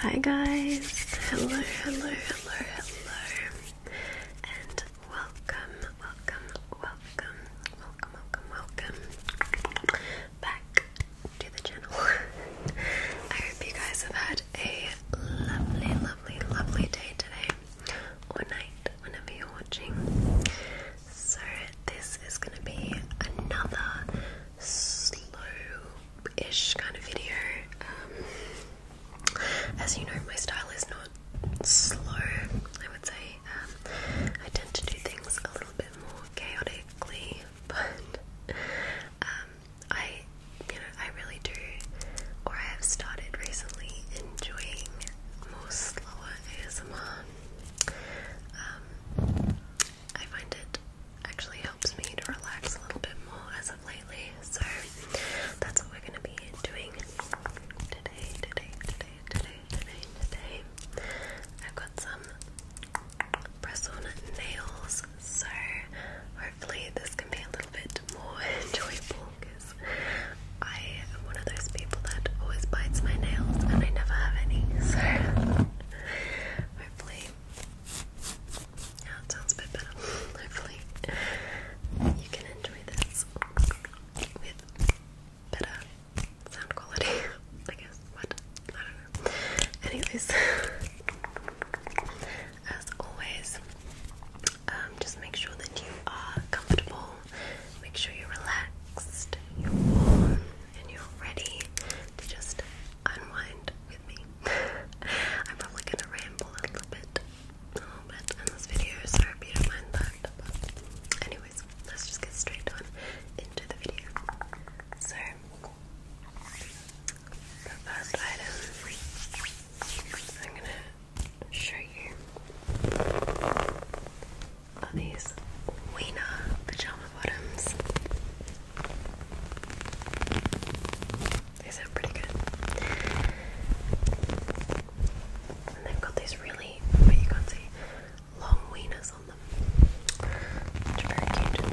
Hi guys, hello, hello, hello, hello, and welcome, welcome, welcome, welcome, welcome, welcome back to the channel. I hope you guys have had a lovely, lovely, lovely day today or night, whenever you're watching. So, this is going to be another slow ish kind of video. Um, as you know, my style is not slow, I would say. Um, I tend to do things a little bit more chaotic but um, I, you know, I really do, or I have started recently enjoying most slower ASMR. Um, I find it actually helps me to relax a little bit more as of lately, so that's what we're going to be doing today, today, today, today, the name today. I've got some press on nails, so hopefully this can be a little bit more enjoyable because I am one of those people that always bites my nails and I never have any. So hopefully, yeah, it sounds a bit better. hopefully, you can enjoy this with better sound quality, I guess. What? I don't know. Anyways, as always, um, just make sure that you are comfortable, make sure you're relaxed, you're warm, and you're ready to just unwind with me. I'm probably gonna ramble a little bit, a little bit in this video, so I you don't mind But anyway let's just get straight on into the video. So, the first item I'm gonna show you are these Wiener pajama bottoms. They sound pretty good. And they've got these really, but you can't see, long wieners on them, which are very cute.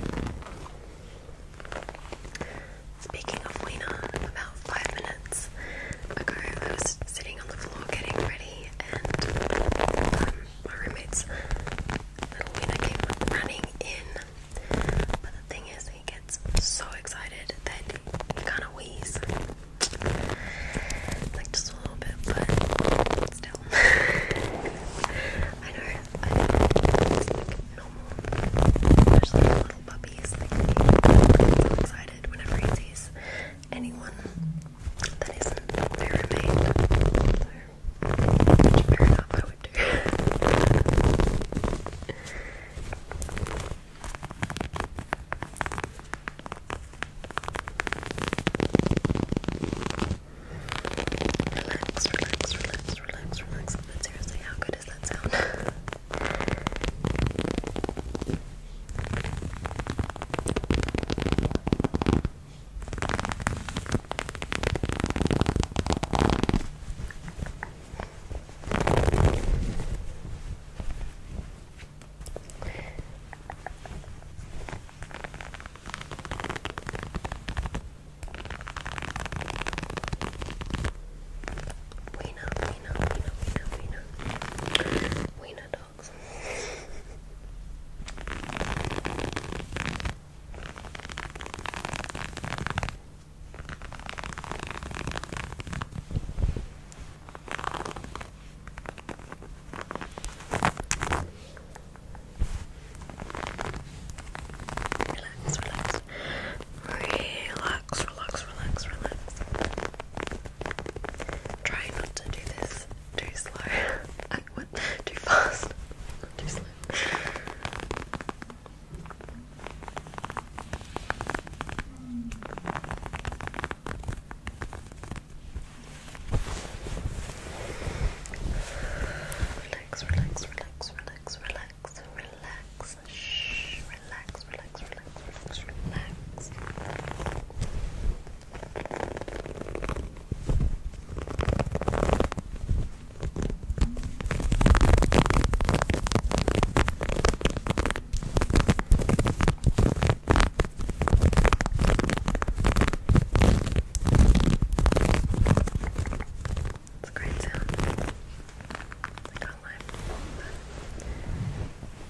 Speaking of wiener, about five minutes ago I was sitting on the floor getting ready and um, my roommate's little wiener came running in. But the thing is, he gets so excited that he kind of wheezes. Like just a little bit, but I know, I know, like normal. Especially little puppies, like they excited whenever he sees anyone that isn't their which fair enough, I would do. Relax, relax, relax, relax, relax. But seriously, how good does that sound? We know, we know, we know, we know, we know. We know dogs. Relax, relax. Relax, relax, relax, relax. Try not to do this too slow. too fast. too slow. Relax, relax, relax, relax, relax, relax. Shh, relax, relax, relax, relax, relax. Relax, it's a great sound. I can't lie.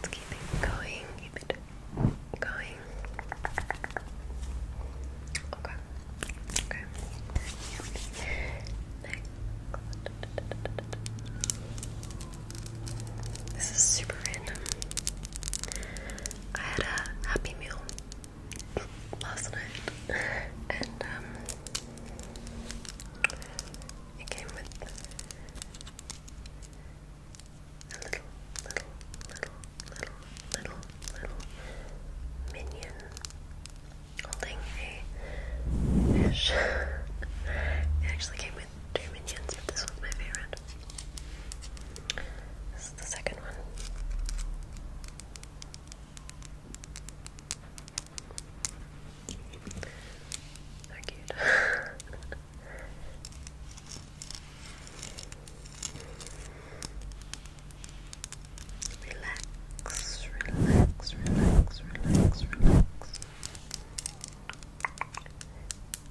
Let's keep it going, keep it going. Okay. Okay. This is super random. I had a happy meal last night, and um, it came with a little, little, little, little, little, little minion holding a fish. it actually came with two minions, but this one's my favorite. This is the second one. they cute. relax, relax, relax, relax, relax.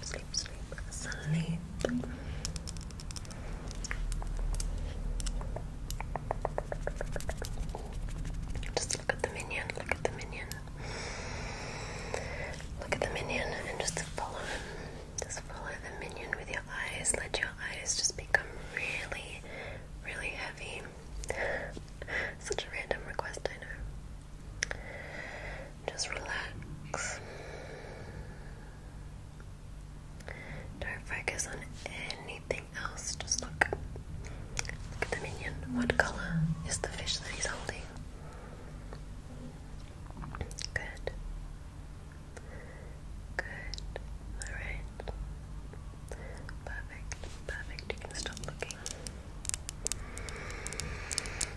sleep, sleep, sleep, Just look at the minion, look at the minion. Look at the minion and just follow him. Just follow the minion with your eyes. Let your eyes just become really, really heavy. Such a random request, I know. Just relax. Don't focus on anything else. Just look. Look at the minion. What colour is the fish that he's holding? Good. Good. Alright. Perfect. Perfect. You can stop looking.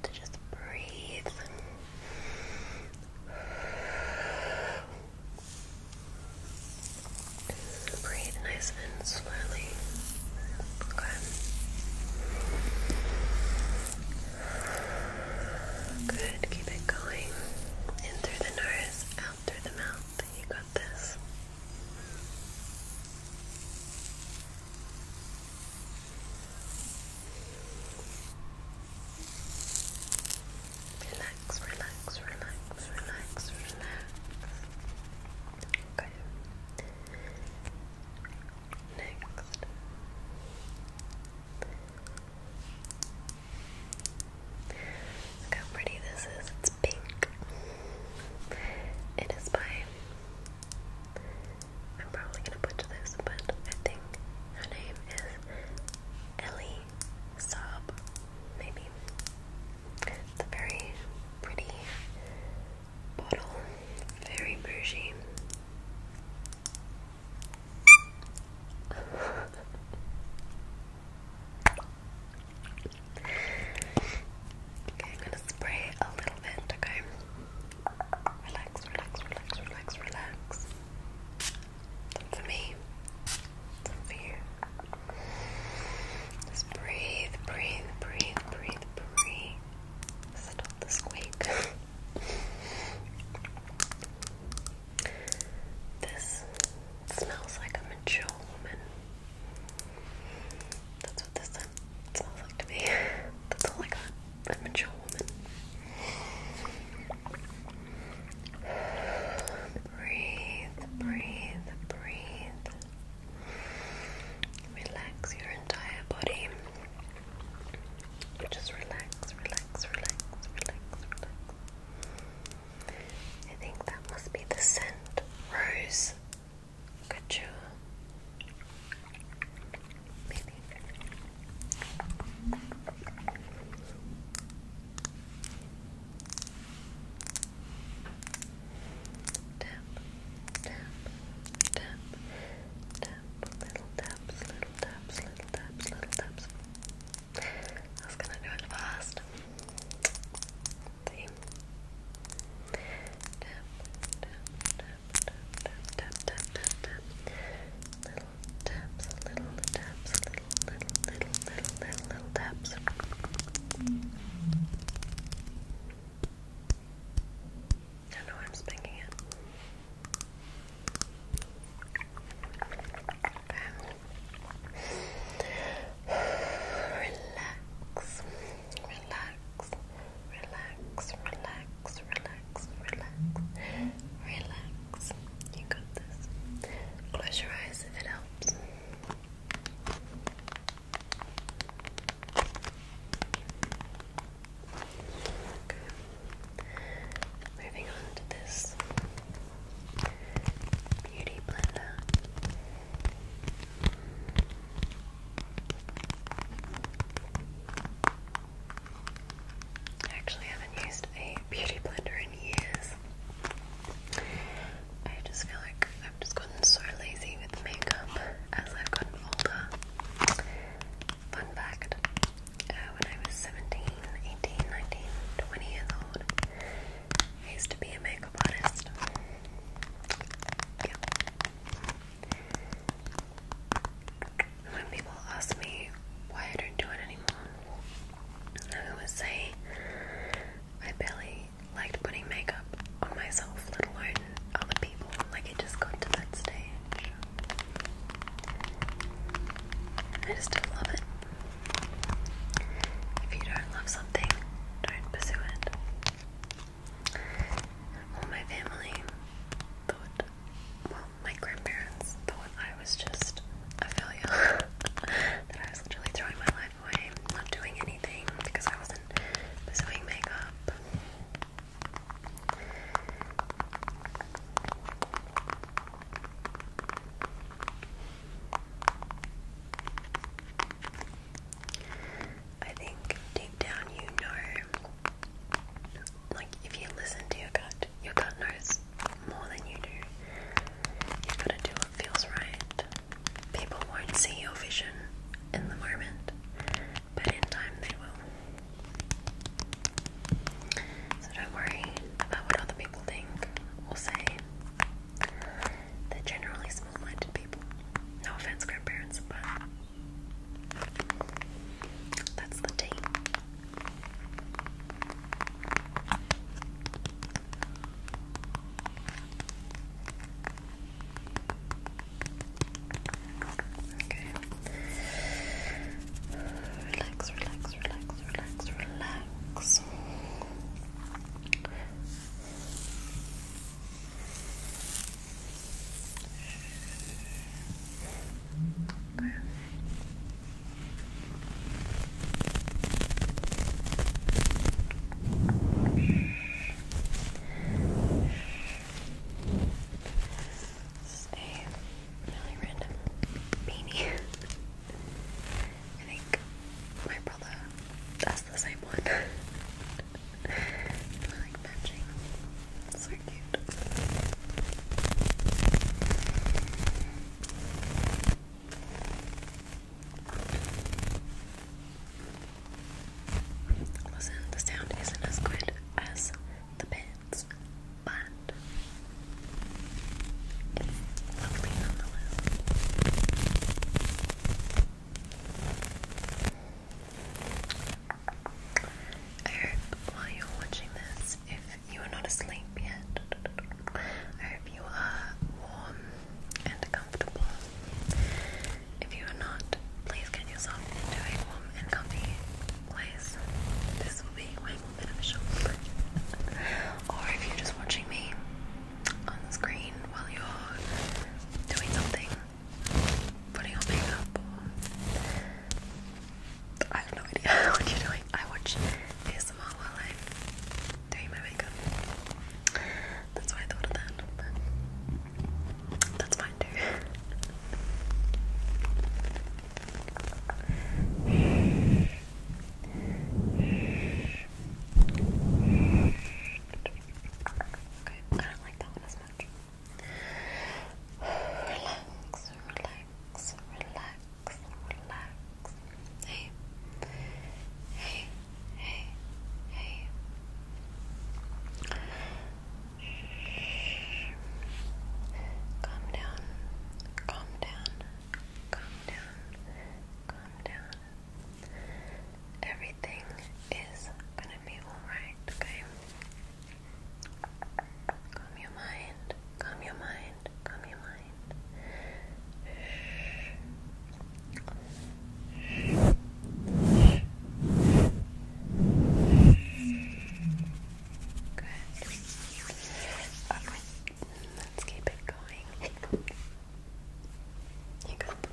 good. Just breathe. Breathe nice and slowly. Okay. Good. Keep it going. In through the nose, out through the mouth. You got this. Relax, relax, relax, relax, relax. Okay. Next. how pretty this is. It's pink. It is by I'm probably gonna butcher this, but I think her name is Ellie Saab, maybe. It's a very pretty bottle, very bougie. okay, I'm gonna spray a little bit, okay? Relax, relax, relax, relax, relax. for me, for you. Just breathe, breathe, breathe, breathe, breathe. Settle the squeak. this smells like a mature woman. That's what this smells like to me. That's all I got a mature woman. Breathe, breathe, breathe. Relax your entire body. Just relax, relax, relax, relax, I think that must be the scent rose. Could you tap, tap, tap, tap, little taps, little taps, little taps, little taps. I was gonna do it fast. Tap, tap, tap, Little taps, little taps, little, little, little, little, little, taps. I know I'm spanking it. Relax, relax, relax, relax, relax, relax, relax. You got this. Close your eyes if it helps. Moving on to this beauty blender. I actually haven't used a beauty blender in years. I just feel like I've just gotten so lazy with makeup as I've gotten older. Fun fact, uh, when I was 17, years old, I used to be a makeup artist. When people ask me why I don't do it anymore, I always say I barely liked putting makeup on myself, let alone other people. Like it just got to that stage. I just don't love it. If you don't love something, don't pursue it. Well, my family thought, well, my grandparents thought I was just a failure. that I was literally throwing my life away, not doing anything because I wasn't pursuing makeup. I think deep down you know, like if you listen to your gut, your gut knows more than you do. You've got to do what feels right. People won't see your vision in the moment, but in time they will. So don't worry about what other people think or say. They're generally small minded people. No offense, grandparents, but that's the tea. Okay. Relax, relax, relax, relax, relax. This is a really random beanie. I think my brother just the same one. they like matching. So cute. Listen, the sound isn't as good as the pants, but lovely nonetheless. I hope while you're watching this, if you are not asleep yet, I hope you are warm and comfortable. If you are not, please get yourself into a warm and comfy place. This will be way more beneficial. or if you're just watching me on the screen while you're doing something, putting on makeup. I have no idea what you're doing. I watch ASMR while I'm doing my makeup. That's why I thought of that. that's fine too. Okay, Relax, relax, relax, relax. Hey, hey, hey, hey. Calm down, calm down, calm down, calm down everything is gonna be alright, okay? Calm your mind, calm your mind, calm your mind. Good. Okay, let's keep it going hiccup.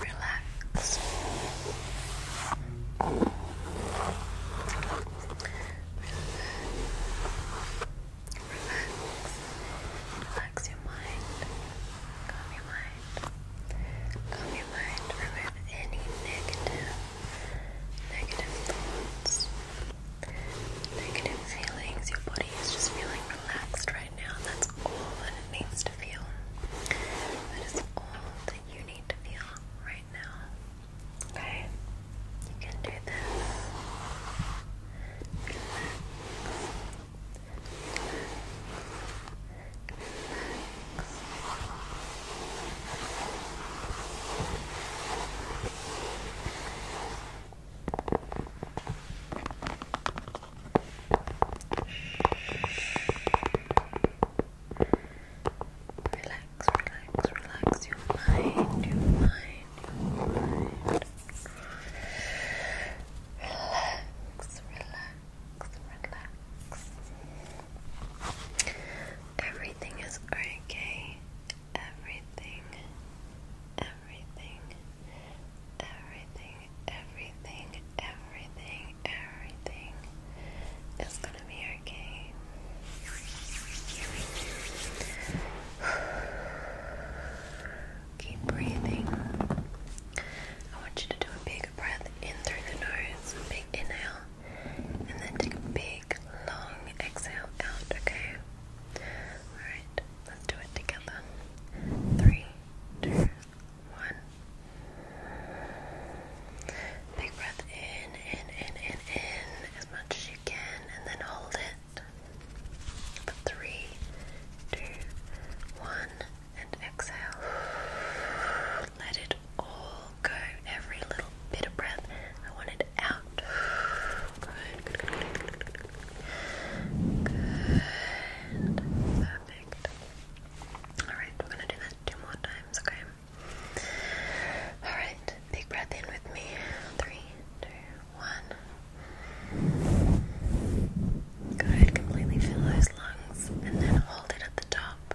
Relax. Relax. your mind. Calm your mind. Calm your mind. Remove any negative negative thoughts negative feelings. Your body is just feeling relaxed right now. That's all that it needs to feel. That is all that you need to feel right now. Okay? You can do this. Relax, relax, relax your mind, your mind, your mind. Relax, relax, relax. Everything is okay everything, everything, everything, everything, everything, everything is gonna be okay. Keep breathing. I want you to do a big breath in through the nose, big inhale, and then take a big long exhale out, okay? Alright, let's do it together. Three, two, one. Big breath in, in, in, in, in, as much as you can, and then hold it. three, two, one, and exhale. Let it all go. Every little bit of breath. I want it Perfect. Alright, we're gonna do that two more times, okay? Alright, big breath in with me. Three, two, one. Good, completely fill those lungs and then hold it at the top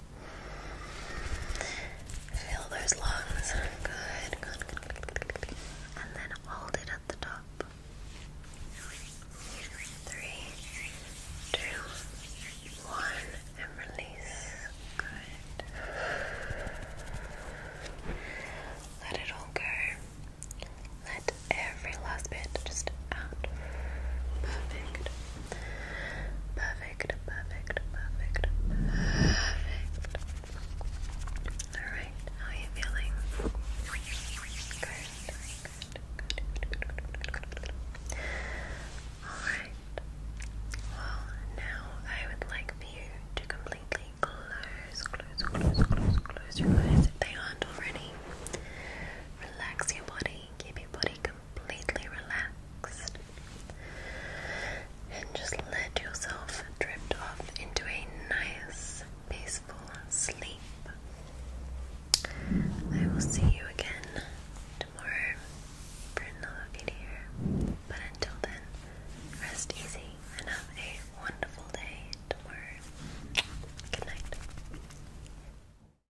Fill those lungs. Good, good, good. And then hold it at the top. Three, two, one, and release. Good. Let it all go. Let every last bit just out. Perfect. Perfect, perfect, perfect, perfect. Alright, how are you feeling? Good, good, good, good, good. Alright. Well, now I would like for you to completely close, close, close, close, close your eyes if they aren't already. Relax your body, keep your body completely relaxed and just let yourself drift off into a nice, peaceful sleep. I will see you again tomorrow for another video. But until then, rest easy and have a wonderful day tomorrow. Good night.